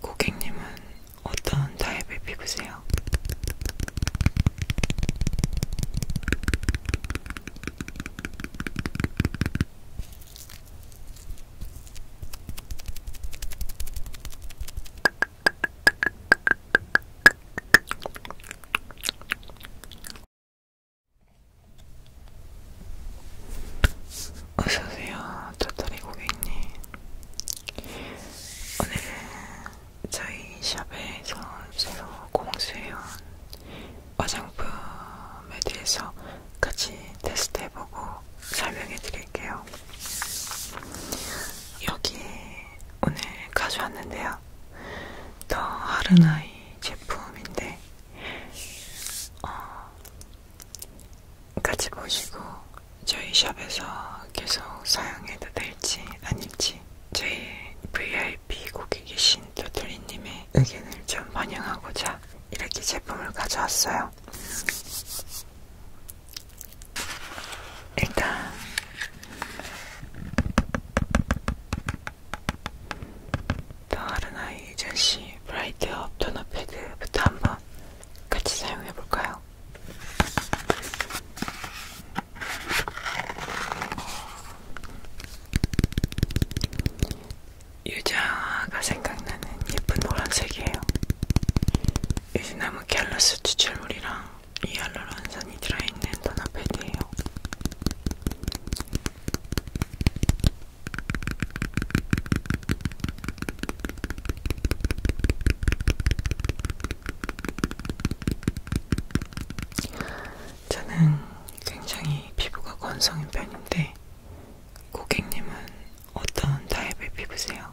고객님은 어떤 타입의 피부세요? 어서오세요. 도토리 고객님 오늘은 저희 샵에서 새로 공수해온 화장품에 대해서 같이 테스트해보고 설명해드릴게요. 여기 오늘 가져왔는데요. 더 하르나이 제품인데 어, 같이 보시고 저희 샵에서 계속 사용해도 될지 아닐지 저희 VIP 고객이신 도토리님의 의견을 좀 반영하고자 이렇게 제품을 가져왔어요. 일단 더아르나이 전시 브라이트업 토너패드부터 한번 같이 사용해 볼까요? 유자가 생각나는 예쁜 노란색이에요. 유지나무 갤러스 추출물이랑 이알루론산이 들어있는 도넛 패드예요. 저는 굉장히 피부가 건성인 편인데 고객님은 어떤 타입의 피부세요?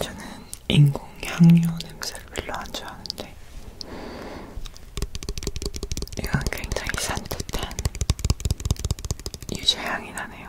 저는 인공 향료 냄새를 별로 안 좋아하는데 이건 굉장히 산뜻한 유제 향이 나네요.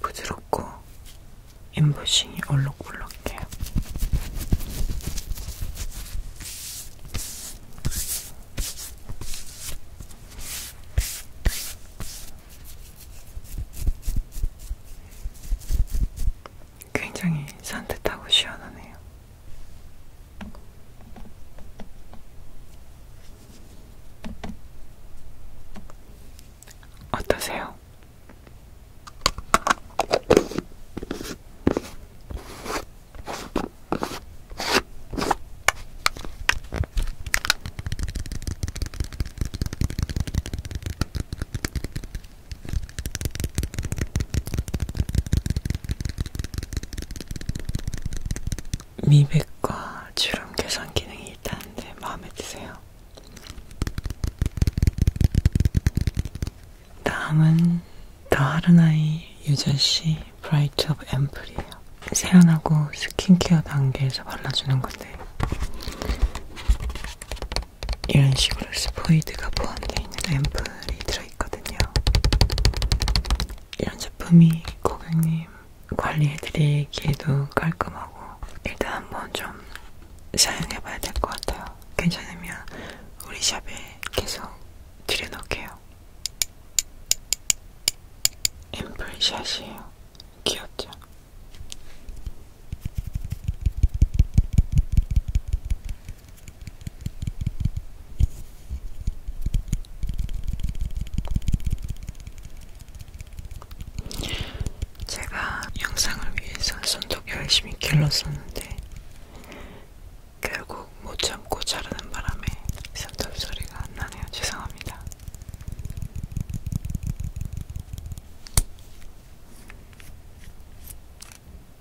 부드럽고 인부싱이 올록올록해요. 굉장히 산뜻하고 시원하네요. 어떠세요? 미백과 주름 개선 기능이 있다는데 마음에 드세요. 다음은 다하르나이 유저씨 브라이트 업 앰플이에요. 세안하고 스킨케어 단계에서 발라주는 건데 이런 식으로 스포이드가 포함되어 있는 앰플이 들어있어요. 있거든요. 이런 제품이 고객님 관리해드리기에도 깔끔하고 일단 한번 좀 사용해봐야 될 것 같아요. 괜찮으면 우리 샵에 계속 들여놓을게요. 앰플샷이에요. 귀엽죠? 제가 영상을 위해서 손톱 열심히 길렀었는데 결국 못 참고 자르는 바람에 손톱 소리가 안 나네요. 죄송합니다.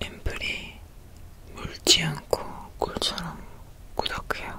앰플이 물지 않고 꿀처럼 꾸덕해요.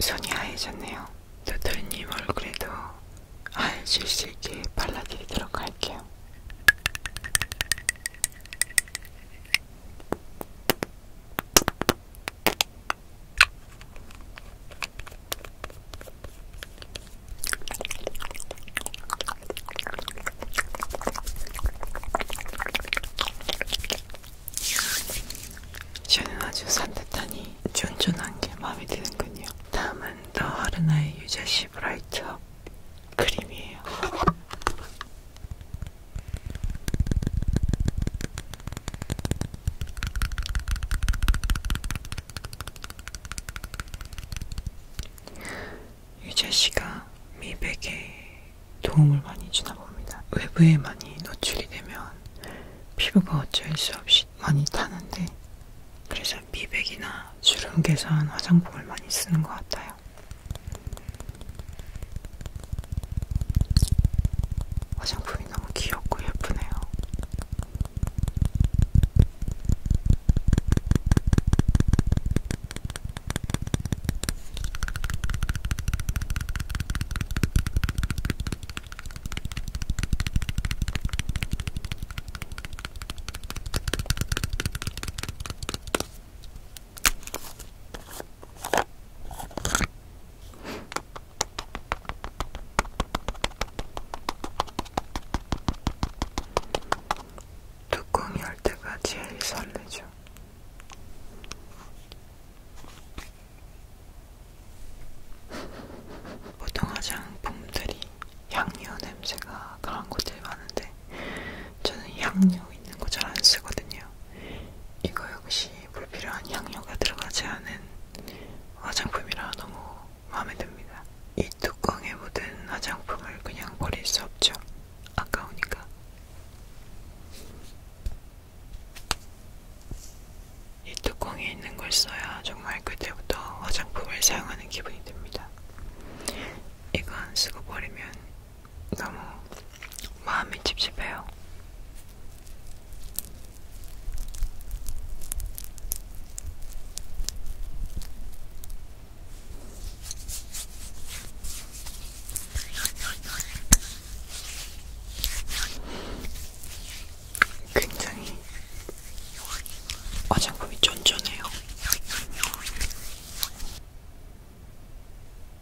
손이 하얘졌네요. 도토리님 얼굴에도 하얘질 수 있게 발라드리도록 할게요. 저는 아주 산뜻하니 쫀쫀한 게 마음에 드는군요. 다음은 더 하르나의 유자씨 브라이트업 크림이에요. 유재 씨가 미백에 도움을 많이 주나 봅니다. 외부에 많이 노출이 되면 피부가 어쩔 수 없이 많이 타는데 그래서 미백이나 주름 개선 화장품을 많이 쓰는 것 같아요. 화장품이 너무 귀엽고 예쁘네요. 뚜껑이 할 때가 제일 설레죠. 보통 화장품들이 향료 냄새가 강한 것들이 많은데 저는 향료 있는 거 잘 안 쓰거든요. 이거 역시 불필요한 향료가 들어가지 않은 화장품이라 너무 마음에 듭니다. 이 뚜껑에 묻은 화장품을 그냥 버릴 수 없죠. 아까우니까. 이 뚜껑에 있는 걸 써야 정말 그때부터 화장품을 사용하는 기분이 듭니다. 이건 쓰고 버리면 너무 마음이 찝찝해요. 굉장히 화장품이 쫀쫀해요.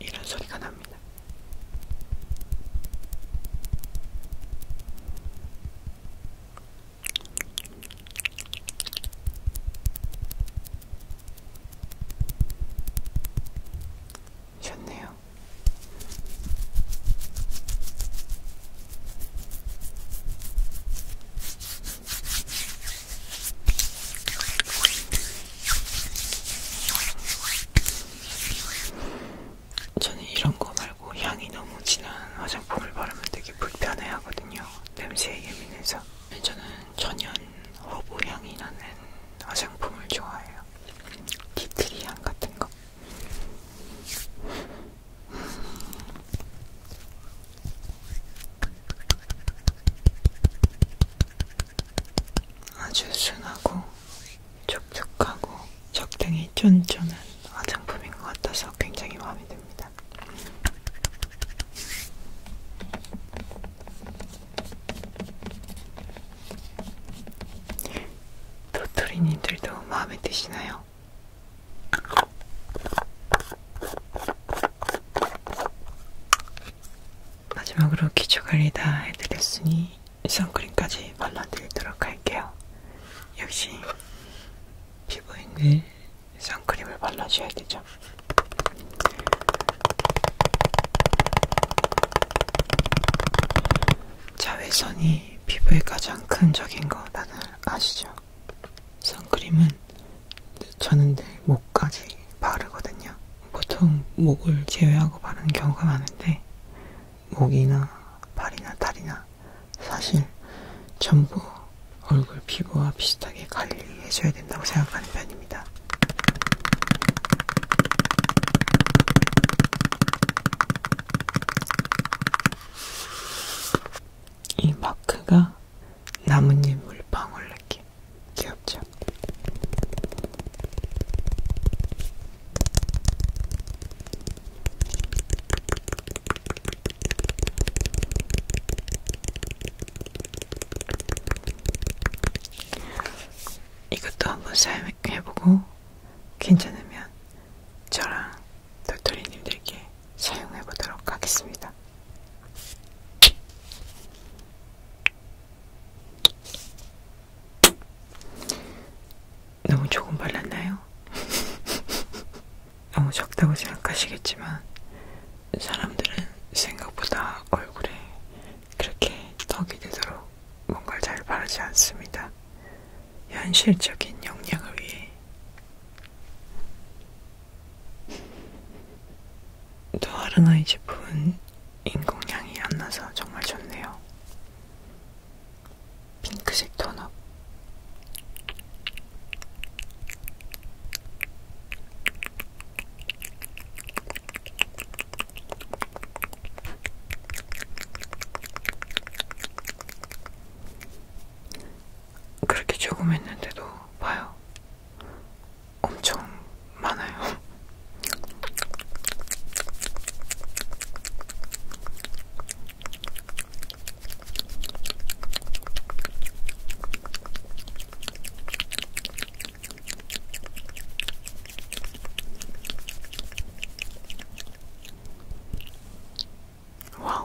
이런 소리가 납니다. 좋네요. 저는 이런 거 말고 향이 너무 진한 화장품을 바르면 되게 불편해 하거든요. 냄새에 예민해서. 저는 천연 허브 향이 나는 화장품을 좋아해요. 디트리 향 같은 거. 아주 순하고 촉촉하고 적당히 쫀쫀한 화장품인 것 같아서 굉장히 마음에 듭니다. 도토리님들도 마음에 드시나요? 마지막으로 기초관리 다 해드렸으니 선크림까지 발라드리도록 할게요. 역시 피부인들 선크림을 발라줘야 되죠. 자외선이 피부에 가장 큰 적인 거 다들 아시죠? 선크림은 저는 늘 목까지 바르거든요. 보통 목을 제외하고 바르는 경우가 많은데 목이나 발이나 다리나 사실 전부 얼굴 피부와 비슷하게 관리해줘야 된다고 생각하는 편입니다. 이 마크가 나뭇잎 물방울 느낌 귀엽죠? 이것도 한번 사용해보고 괜찮으면 저랑 도토리님들께 사용해보도록 하겠습니다. 너무 조금 발랐나요? 너무 적다고 생각하시겠지만 사람들은 생각보다 얼굴에 그렇게 떡이 되도록 뭔가를 잘 바르지 않습니다. 현실적인 역량을 위해 토하르나이 제품은 인공향이 안 나서 정말 좋네요. 핑크색 톤업. 그렇게 조금 했는데도 봐요. 엄청 많아요. 와우.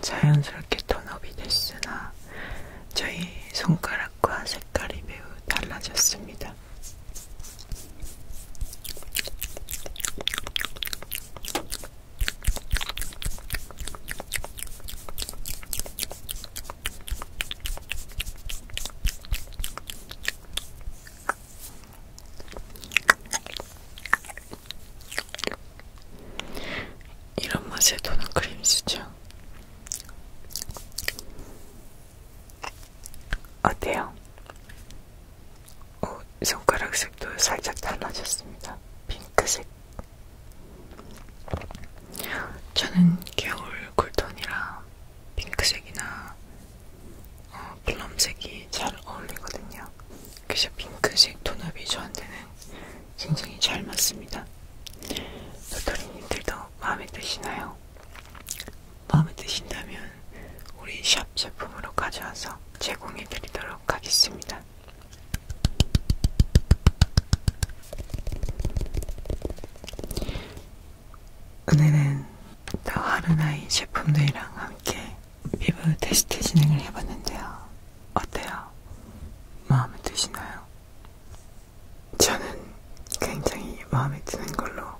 자연스럽게 턴업이 됐으나 저희 손가락과 색깔이 매우 달라졌습니다. 이런 맛에 도넛 크림스죠? 어때요? 오, 손가락 색도 살짝 달라졌습니다. 핑크색, 저는 겨울 쿨톤이라 핑크색이나 어, 플럼색이 잘 어울리거든요. 그래서 핑크색 톤업이 저한테는 굉장히 잘 맞습니다. 도토리님들도 마음에 드시나요? 마음에 드신다면 우리 샵 제품으로 가져와서 제공해드리도록 하겠습니다. 오늘은 더하루나이 제품들이랑 함께 피부 테스트 진행을 해봤는데요. 어때요? 마음에 드시나요? 저는 굉장히 마음에 드는 걸로.